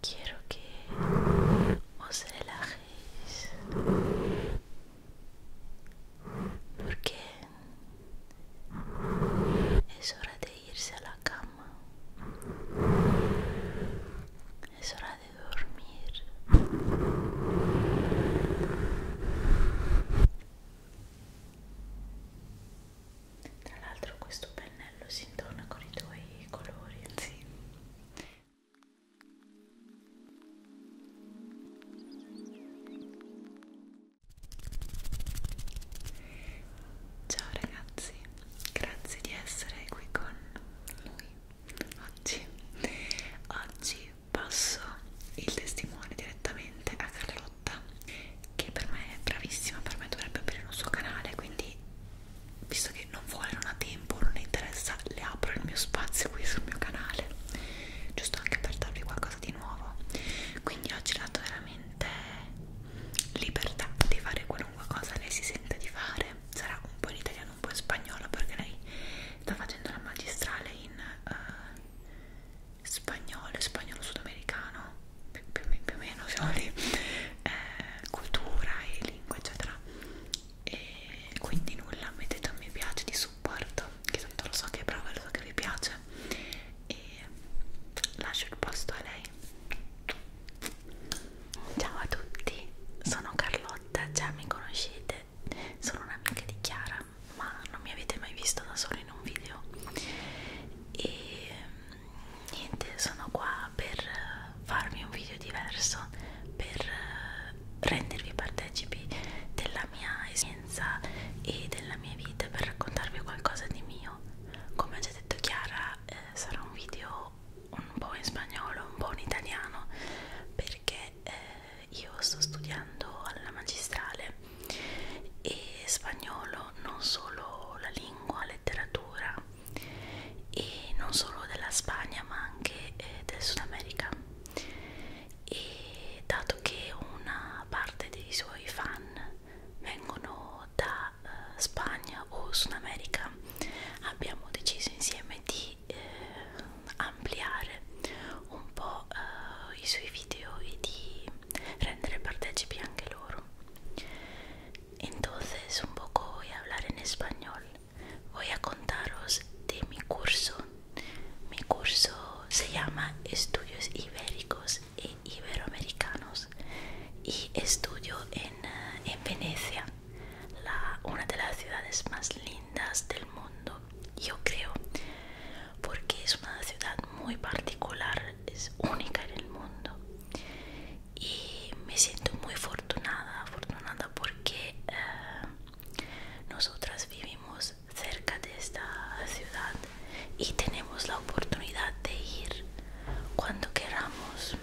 Quiero que os relajéis porque es hora de irse a la cama, es hora de dormir. Tra l'altro questo pennello si intorna con i tuoi colori, sì. Ciao ragazzi, grazie di essere qui con noi oggi. Oggi passo il testimone direttamente a Carlotta che per me è bravissima, per me dovrebbe aprire un suo canale, quindi visto che non vuole, non ha tempo, non le interessa, le apro il mio spazio qui sul mio canale, giusto anche per darvi qualcosa di nuovo. Quindi oggi le ho dato veramente libertà di fare qualunque cosa lei si sente di fare, sarà un po' in italiano un po' in spagnolo perché lei sta facendo la magistrale in uh, spagnolo, spagnolo sudamericano, più, più, più o meno siamo lì, eh, cultura e lingua eccetera e quindi nulla, mettete un mi piace di supporto, che tanto lo so che è brava, lo so che vi piace e lascio il posto a lei. Ciao a tutti, sono Carlotta, già mi conoscete, sono un'amica di Chiara ma non mi avete mai visto da solo in un video e mm, niente sono qua per eh, farvi un video diverso per eh, rendervi partecipi della mia esistenza e della mia vita per raccontarvi qualcosa di mio come ho già detto Chiara eh, sarà un video un po' in spagnolo un po' in italiano perché eh, io sto studiando alla magistrale e spagnolo non solo la lingua, letteratura e non solo della Spagna ma anche eh, del Sud America e dato che una parte dei suoi fan vengono da eh, Spagna o Sud America abbiamo deciso insieme di y eh, un poco eh, su vídeo y e de rendere partecipi anche Entonces un poco voy a hablar en español. Voy a contaros de mi curso. Mi curso se llama Estudios Ibéricos e Iberoamericanos y estudio en, eh, Venecia, una de las ciudades más lindas del mundo yo creo, porque es una ciudad muy particular, es única en el mundo. Y me siento muy afortunada, afortunada porque eh, nosotras vivimos cerca de esta ciudad y tenemos la oportunidad de ir cuando queramos.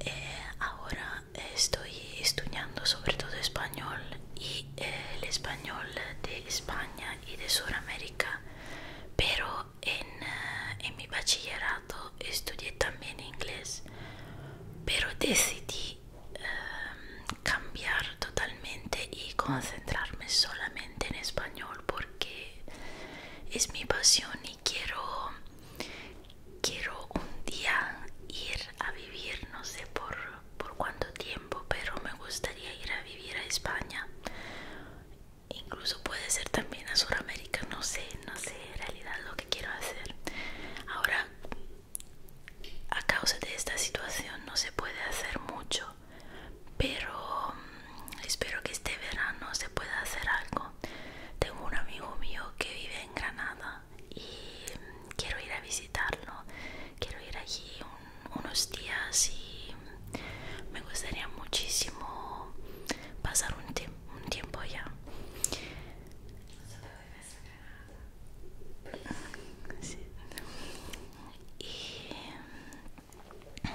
Eh, ahora estoy estudiando sobre todo español y el español de España y de Sudamérica, pero en, eh, mi bachillerato estudié también inglés, pero decidí eh, cambiar totalmente y concentrarme solamente en español porque es mi pasión y quiero Quiero un día ir a vivir, no sé por, cuánto tiempo, pero me gustaría ir a vivir a España. Incluso puede ser también a Sudamérica, no sé, no sé en realidad lo que quiero hacer. Ahora, a causa de esta situación no se puede hacer mucho, pero mm, espero que este verano se pueda hacer algo. Tengo un amigo mío que vive en Granada casa y mm, quiero ir a visitarlo, quiero ir allí un, unos días y mm, me gustaría muchísimo pasar un, tie un tiempo allá. Sí. Y... Mm,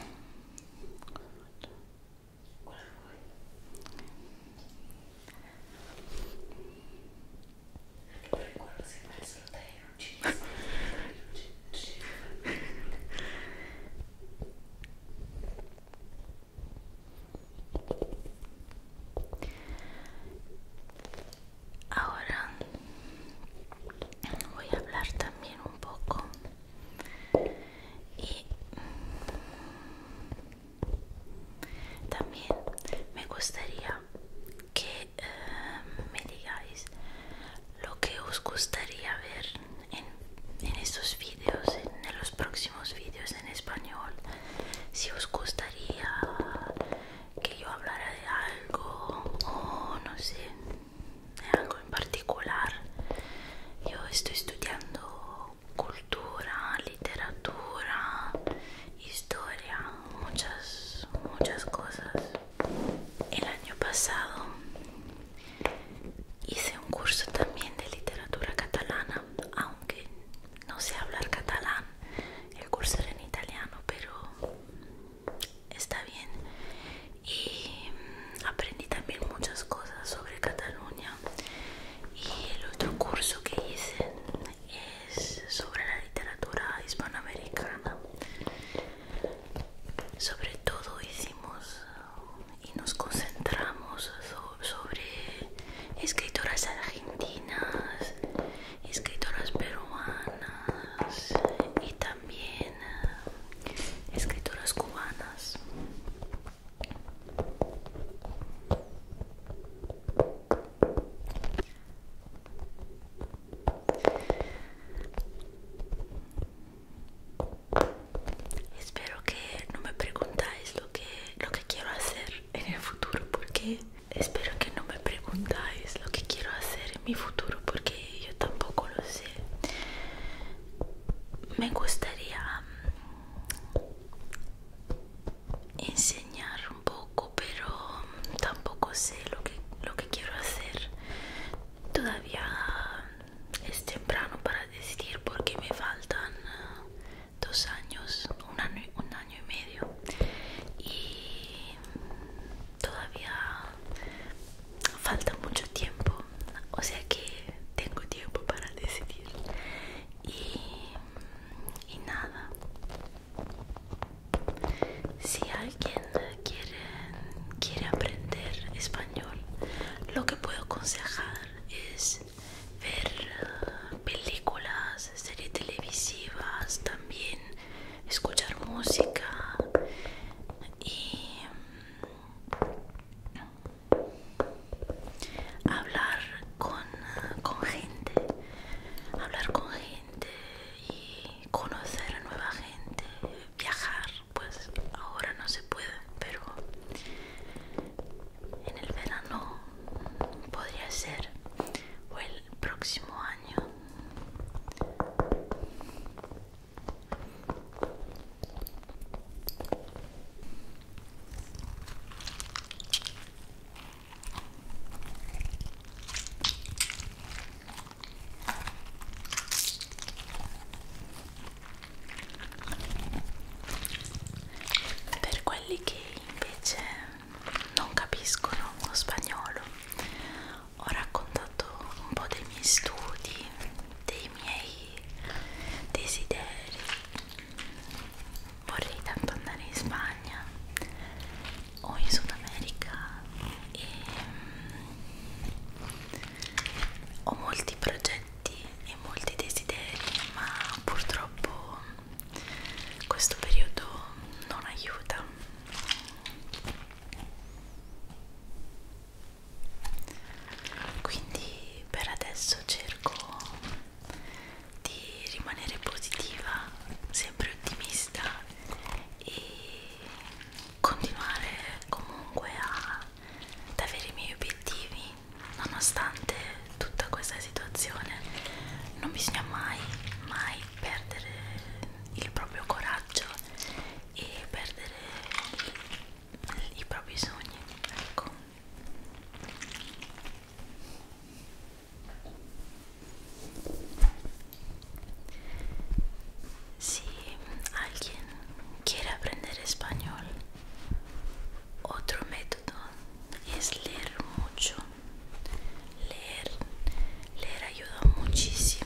Ahora voy a hablar también un poco y también me gustaría que eh, me digáis lo que os gustaría ver en, estos vídeos, en, en los próximos vídeos en español. Si os gustaría que yo hablara de algo o no sé, de algo en particular. Yo estoy estudiando cultura, literatura, historia, muchas, muchas cosas. El año pasado hice un curso también de literatura catalana, aunque no sé hablar catalán. El curso era en italiano, pero está bien. Y aprendí también muchas cosas sobre Cataluña y el otro curso que hice es sobre la literatura hispanoamericana sobre todo hicimos y nos concentramos sobre escritoras argentinas escritoras peruanas y también eh, escritoras cubanas Espero que no me preguntáis lo que, lo que quiero hacer en el futuro porque espero que no me preguntáis lo que quiero hacer en mi futuro porque yo tampoco lo sé. Me gustaría enseñar un poco pero tampoco sé lo que lo que quiero hacer todavía es temprano para decidir porque me faltan eh, dos años un año y medio y todavía falta mucho tiempo o sea que tengo tiempo para decidir y, y nada si alguien quiere, quiere aprender español lo que puedo aconsejar es ver uh, películas series televisivas también escuchar música y hablar con, gente, hablar con gente y conocer a nueva gente, viajar, pues ahora no se puede, pero en el verano podría ser o el próximo año. Per quelli che invece non capiscono lo spagnolo, ho raccontato un po' dei miei studi, dei miei desideri vorrei tanto andare in Spagna o in Sud America e mm, ho molti progetti e molti desideri ma purtroppo questo periodo non aiuta quindi per adesso cerco di rimanere positiva, sempre ottimista e continuare comunque a, ad avere i miei obiettivi nonostante tutta questa situazione. Non bisogna mai, mai perdere il proprio coraggio e perdere i propri sogni. Ecco. Si alguien quiere aprender español, otro método es leer mucho. Leer, leer ayuda muchísimo.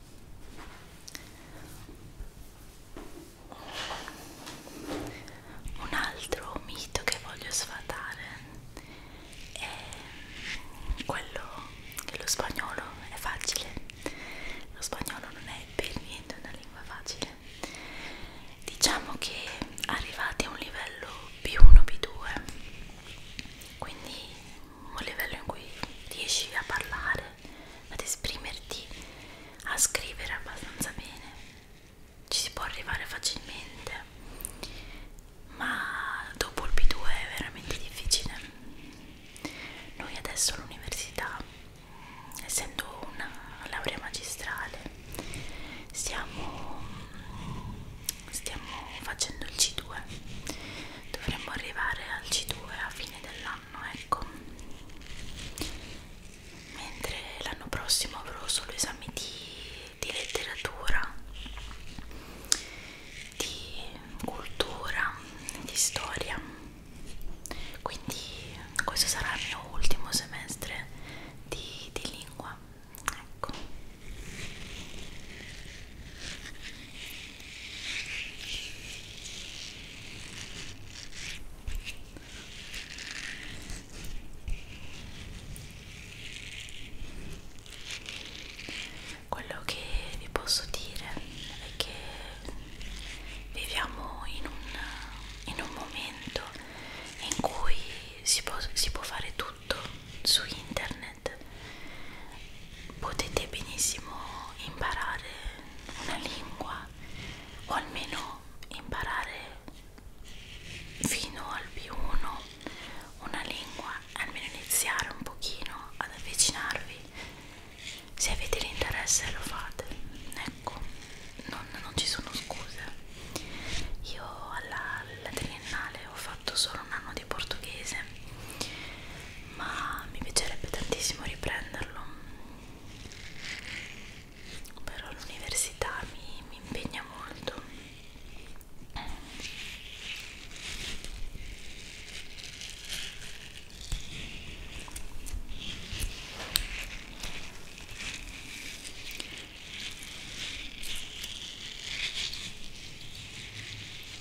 Un altro mito che voglio sfatare è quello che lo spagnolo è facile. Lo spagnolo non è per niente una lingua facile. Diciamo che arrivati a un livello B1, B2, quindi un livello in cui riesci a parlare ad esprimerti, a scrivere abbastanza bene, ci si può arrivare facilmente, ma dopo il B2 è veramente difficile. Noi adesso all'università, essendo una laurea magistrale, stiamo, stiamo facendo il C2, dovremmo arrivare al C2 a fine dell'anno anno ecco mentre l'anno prossimo avrò solo esami di, di letteratura di cultura di storia quindi questo sarà il mio ultimo semestre di, di lingua ecco quello che vi posso dire è che viviamo in un, in un momento in cui si può, si può fare tutto su internet potete benissimo imparare una lingua o almeno imparare fino al B1 una lingua almeno iniziare un pochino ad avvicinarvi se avete l'interesse lo fate ecco non, non ci sono scuse io alla, alla triennale ho fatto solo un anno di portoghese ma mi piacerebbe tantissimo riprenderlo però l'università mi, mi impegna molto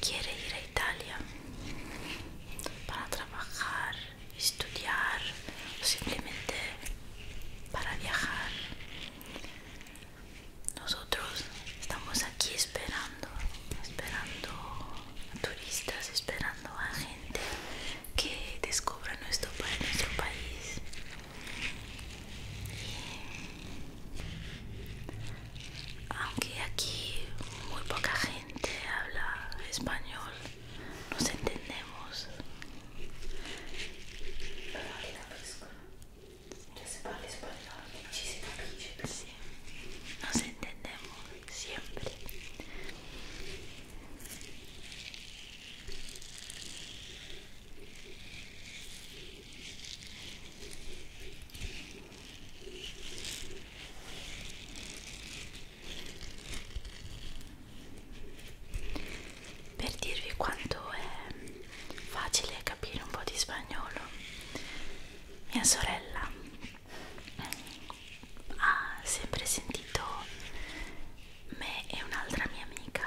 quiere ir a Italia para trabajar, estudiar o simplemente para viajar. Nosotros estamos aquí esperando, esperando a turistas, esperando a gente que descubra nuestro, nuestro país. Aunque aquí muy poca gente habla español, nos entendemos. Sí, nos entendemos siempre. Per dirvi quanto è facile capire un po' di spagnolo, mia sorella ha sempre sentito me e un'altra mia amica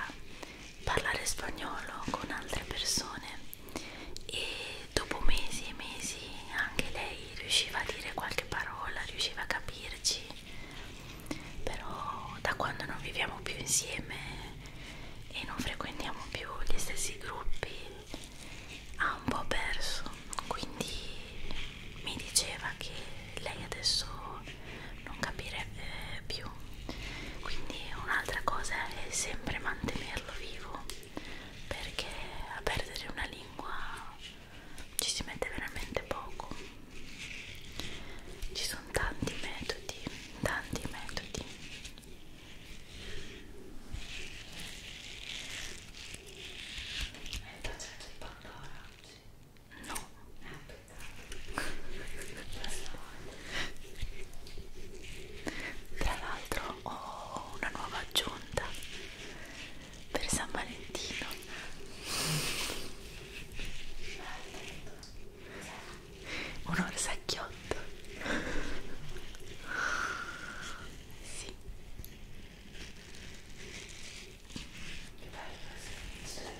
parlare spagnolo con altre persone e dopo mesi e mesi anche lei riusciva a dire qualche parola, riusciva a capirci, però da quando non viviamo più insieme e non frequentiamo più gli stessi gruppi ha un po' perso, quindi mi diceva che lei adesso non capirebbe più più quindi un'altra cosa è sempre mantenerlo vivo perché a perdere una lingua ci si mette veramente poco ci sono tanti metodi tanti metodi hai il progetto di Pandora? no eh, tra l'altro ho una nuova aggiunta per San Valentino. Un orsacchiotto. Sì. Che bello, sì.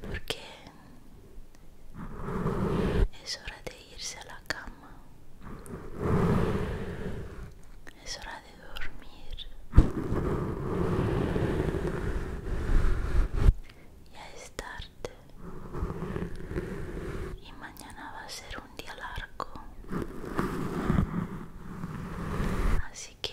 porque es hora de irse a la cama es hora de dormir ya es tarde y mañana va a ser un día largo así que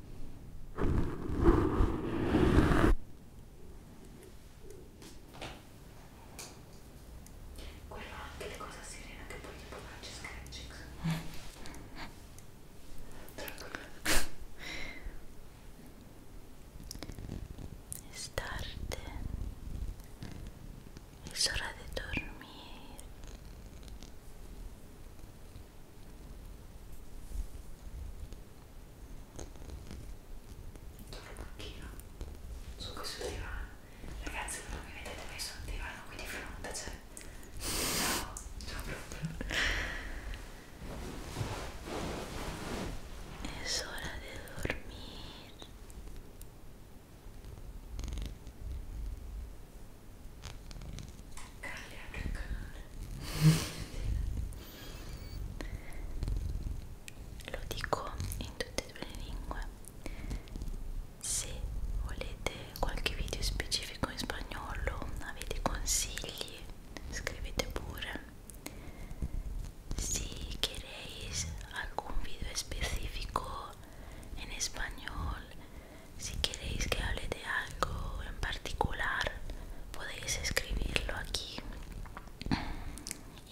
Quello è anche la cosa serena che poi dopo faccio sketching. Estate es hora de dormir sono in panchina su questo divano. Ragazzi, non mi vedete mai su un divano qui di fronte, cioè. No, no proprio. Es hora de dormir. Canale anche il canale. Lo dico in tutte e due le lingue. Se volete qualche video specifico in spagnolo, avete consigli, scrivete pure. Si queréis algún video específico en español Si queréis que hable de algo en particular, podéis escribirlo aquí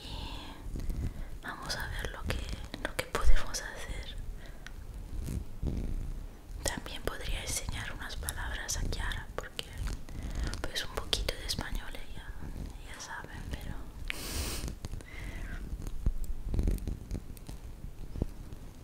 y vamos a ver lo que, podemos hacer. También podría enseñar unas palabras a Chiara porque pues un poquito de español ella, ya saben, pero...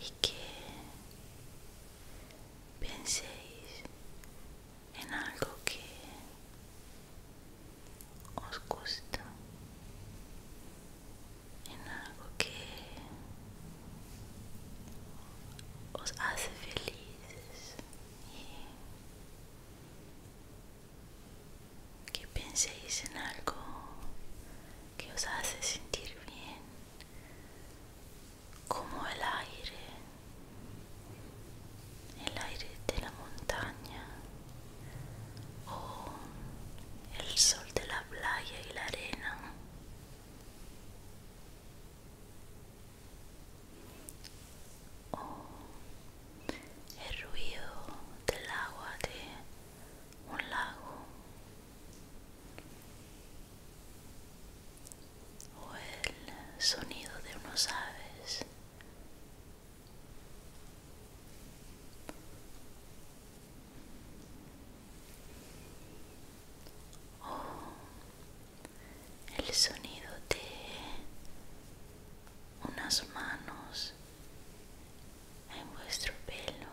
y que penséis en algo que os gusta, en algo que os hace felices y que penséis en algo que os hace sentir bien, como el aire, el aire de la montaña o el sol de la playa y la arena. O el ruido del agua de un lago o el sonido de unos aves o el sonido de unas manos en vuestro pelo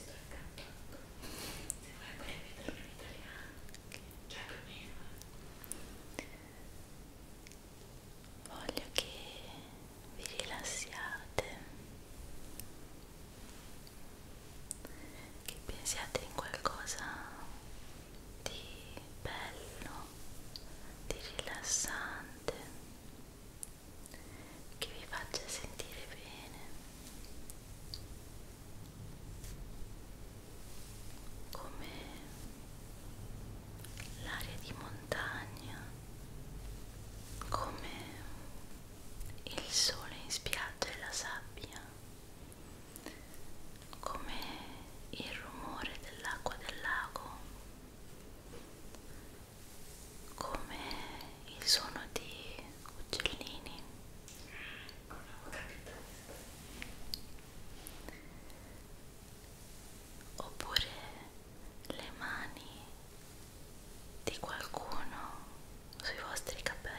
sto incantando se vuoi puoi ripeterlo in italiano cioè più o meno voglio che vi rilassiate che pensiate in qualcosa di bello, di rilassante che vi faccia sentire bene come l'aria di montagna come il sole in spiaggia e la sabbia come il rumore dell'acqua del lago, come il suono di uccellini. Oppure le mani di qualcuno sui vostri capelli.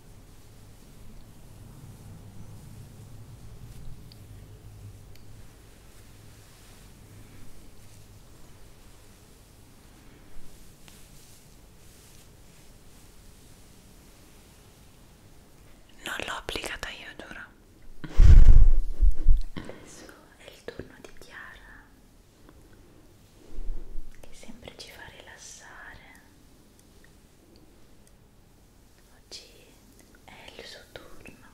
Non l'ho applicata io, giuro. Adesso è il turno di Chiara, che sempre ci fa rilassare. Oggi è il suo turno.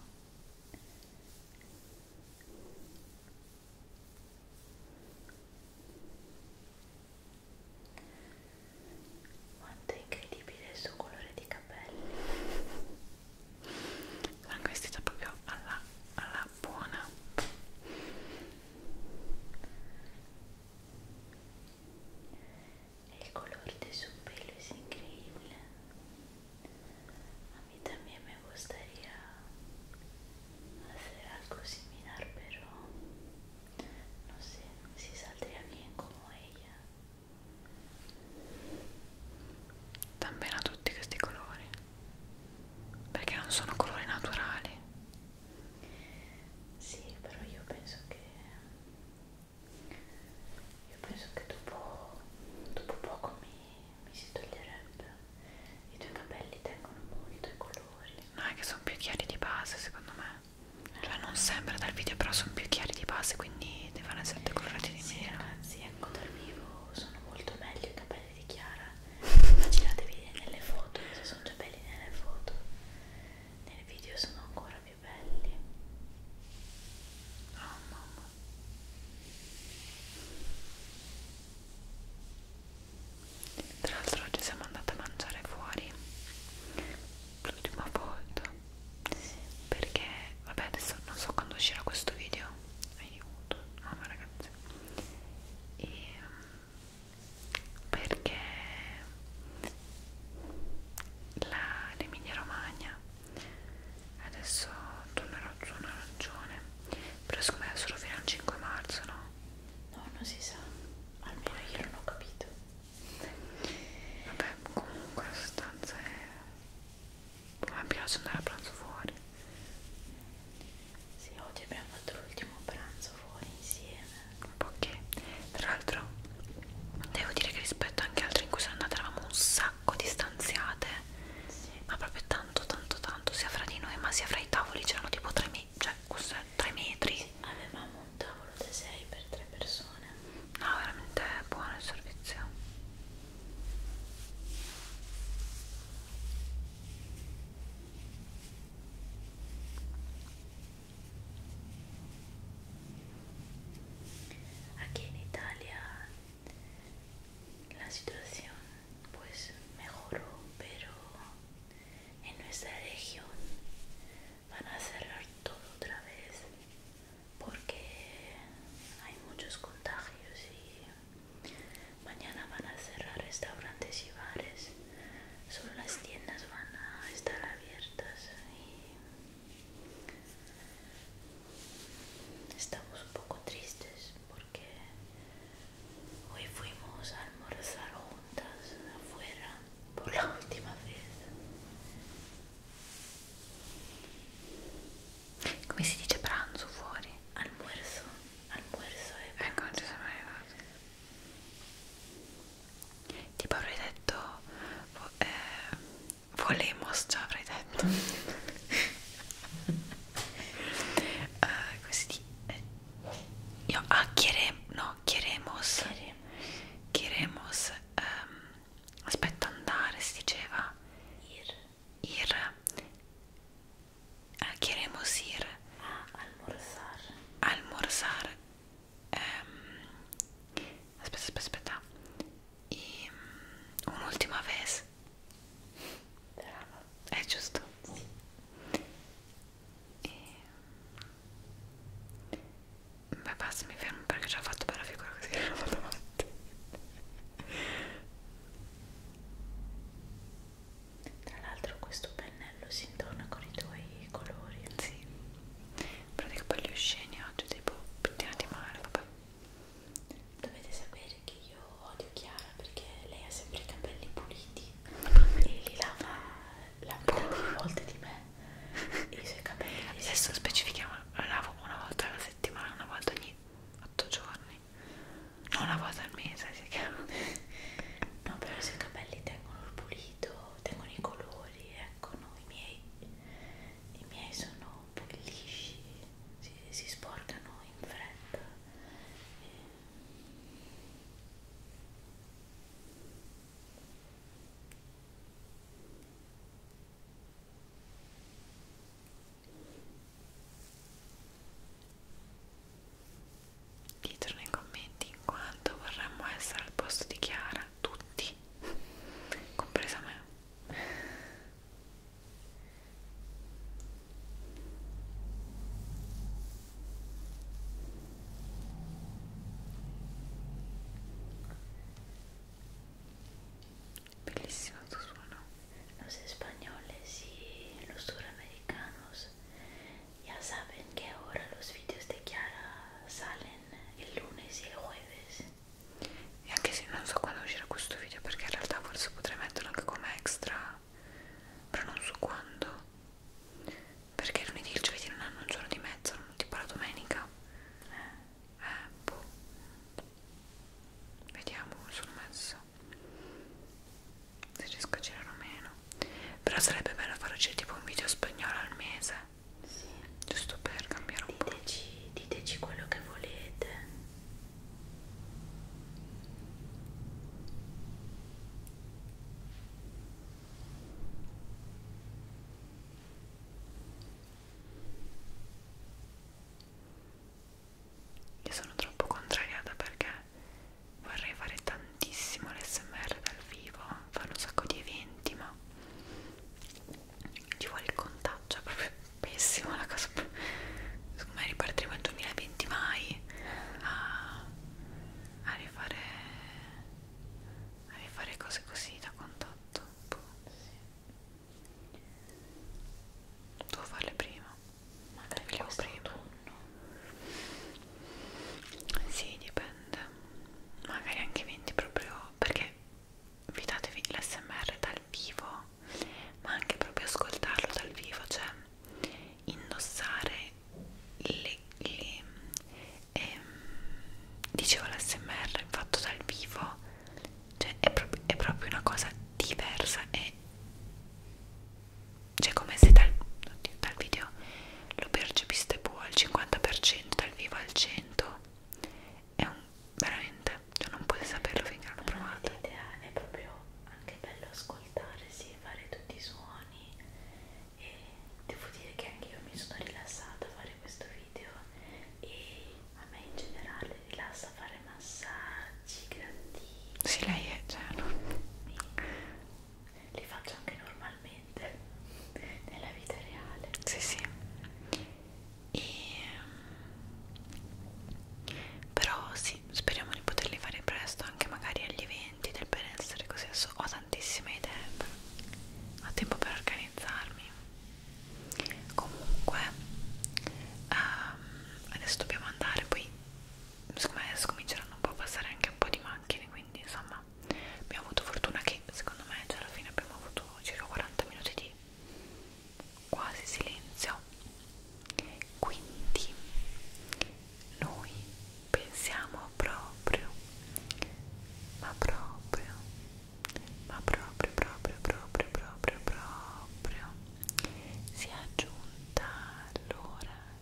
Quanto è incredibile il suo colore di capelli. L'hanno vestita proprio alla, alla buona il color del suo pelo es increíble a mí también me gustaría hacer algo similar pero no sé si saldría bien como ella Tan bene a tutti questi colori perché non sono colori naturali sì, però io penso che io penso che dopo, dopo poco mi, mi si toglierebbe. I tuoi capelli tengono molto i colori. No, è che sono più chiari di base, secondo me. Cioè non sembra dal video, però sono più chiari di base, quindi devono essere eh, decorati di sì, meno. Ragazzi, ecco dal vivo sono molto belli i capelli di Chiara. Immaginatevi nelle foto, sono già belli nelle foto nel video sono ancora più belli oh mamma tra l'altro oggi siamo andati a mangiare fuori l'ultima volta sì. perché vabbè adesso non so quando uscirà questo video aiuto mamma ragazzi e um, perché l'Emilia Romagna adesso tornerò giù un arancione però siccome è solo fino al 5 marzo no? no non si sa almeno io non ho capito vabbè comunque la sostanza è mi piace andare a pranzo fuori sì oggi abbiamo fatto l'ultimo pranzo fuori insieme ok tra l'altro devo dire che rispetto anche altri in cui sono andata eravamo un sacco distanziate sì. ma proprio tanto tanto tanto sia fra di noi ma sia fra i tavoli c'erano tipo 3 metri cioè questo è 3 metri sì, avevamo un tavolo da 6 per 3 persone no veramente buono il servizio Aquí en Italia la situación pues mejoró, pero en nuestra región van a cerrar todo otra vez porque hay muchos contagios y mañana van a cerrar restaurantes y bares solo las tiendas van a estar abiertas y estamos un poco tristes porque hoy fuimos a almorzar juntas afuera por la última vez. ¿Cómo se dice pranzo fuori? Almuerzo, almuerzo e pranzo. tipo avrei detto vo eh, volemos già avrei detto uh, eh, questi eh. io ah chiere, no chieremos chieremos um, ehm, aspetta andare si diceva ir ir Ah, queremos ir a ah, almorzar. Almorzar. Um, aspetta, aspetta, aspetta. E, um, un'ultima vez. Brava. È giusto? Sì. E... Ehm, beh, basta, mi fermo perché ci ho fatto bella figura così che non vado avanti. Tra l'altro questo pennello si intona con i tuoi colori. Sì. Però dico poi gli usceni oggi tipo pettinati male, vabbè. Dovete sapere che io odio Chiara perché lei ha sempre i capelli puliti e li lava la metà delle volte di me e i suoi capelli. Adesso specifichiamo, la lavo una volta alla settimana, una volta ogni 8 giorni, non una volta al mese, classica no però se i capelli tengono il pulito tengono i colori ecco no i miei i miei sono un po' lisci si, si sporcano in fretta e dietro nei commenti in quanto vorremmo essere al posto di Chiara tutti compresa me bellissimo tu suono los españoles eh, y los suramericanos Ya saben que ahora los vídeos de Chiara salen il lunes e il jueves. E anche se non so quando uscirà questo video, perché in realtà forse potrei metterlo anche come extra, però non so quando. Perché lunedì e il giovedì non hanno un giorno di mezzo, tipo la domenica. Eh, eh boh. Vediamo come sono messo se riesco a girare meno però sarebbe bello farlo cioè, tipo un video spagnolo al mese sì. giusto per cambiare un diteci, po' diteci quello che volete io sono troppo contrariata perché vorrei fare tantissimo l'SMR dal vivo, fanno un sacco di eventi, ma ci vuole il contagio, è proprio pessimo la cosa. Secondo me ripartiremo il 2020 mai a, a, rifare, a rifare cose così da contatto. Boh. Devo farle prima magari prima sì dipende magari anche 20 proprio perché vi datevi l'SMR dal vivo ma anche proprio ascoltarlo dal vivo cioè indossare le, le ehm, dicevo l'SMR fatto dal vivo cioè è, pro è proprio una cosa diversa e cioè come se dal, oddio, dal video lo percepiste poi al 50% dal vivo al 100 è un veramente cioè non puoi saperlo finché non lo provate no, l'idea è proprio anche bello ascoltare sì, fare tutti i suoni e devo dire che anche io mi sono rilassata a fare questo video e a me in generale rilassa fare massaggi grandi sì lei è cioè no. mi li faccio anche normalmente nella vita reale sì sì e... Mm, però sì speriamo di poterli fare presto anche magari agli eventi del benessere così adesso ho tantissime idee però ho tempo per organizzarmi comunque um, adesso dobbiamo andare poi secondo me adesso cominceranno un po' a passare anche un po' di macchine quindi insomma abbiamo avuto fortuna che secondo me cioè alla fine abbiamo avuto circa 40 minuti di quasi silenzio quindi noi pensiamo proprio ma proprio ma proprio proprio proprio proprio proprio si è aggiunta l'ora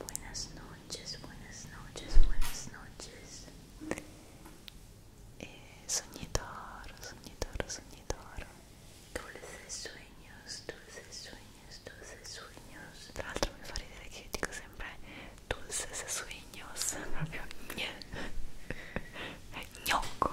Buenas noches, buenas noches, buenas noches. Eh, soñador, soñador, soñador. Dulces sueños, dulces sueños, dulces sueños. Tra me mi fa que che dico siempre dulces sueños, proprio gnocco.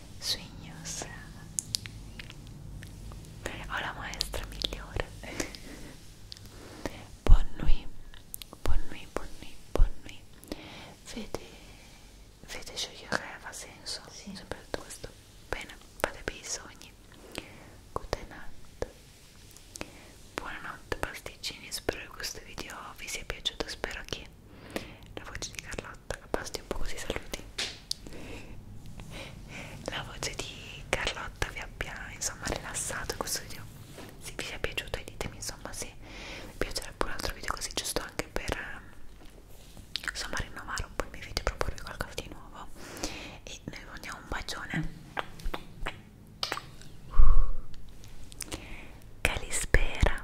sueños. Ho la maestra migliore. Buon nui, buon nui, buon nui, buon nui. Vede, vede sciogliere aveva senso. Sì. Sempre detto questo. Bene, fate bei sogni. Good night. Buonanotte pasticcini, spero che questo video vi sia piaciuto, spero che la voce di Carlotta basti un po' così saluti la voce di Carlotta vi abbia insomma rilassato questo video se vi sia piaciuto e ditemi insomma se vi piacerebbe un altro video così giusto anche per insomma rinnovare un po' i miei video e proporvi qualcosa di nuovo e noi vi mandiamo un bacione calispera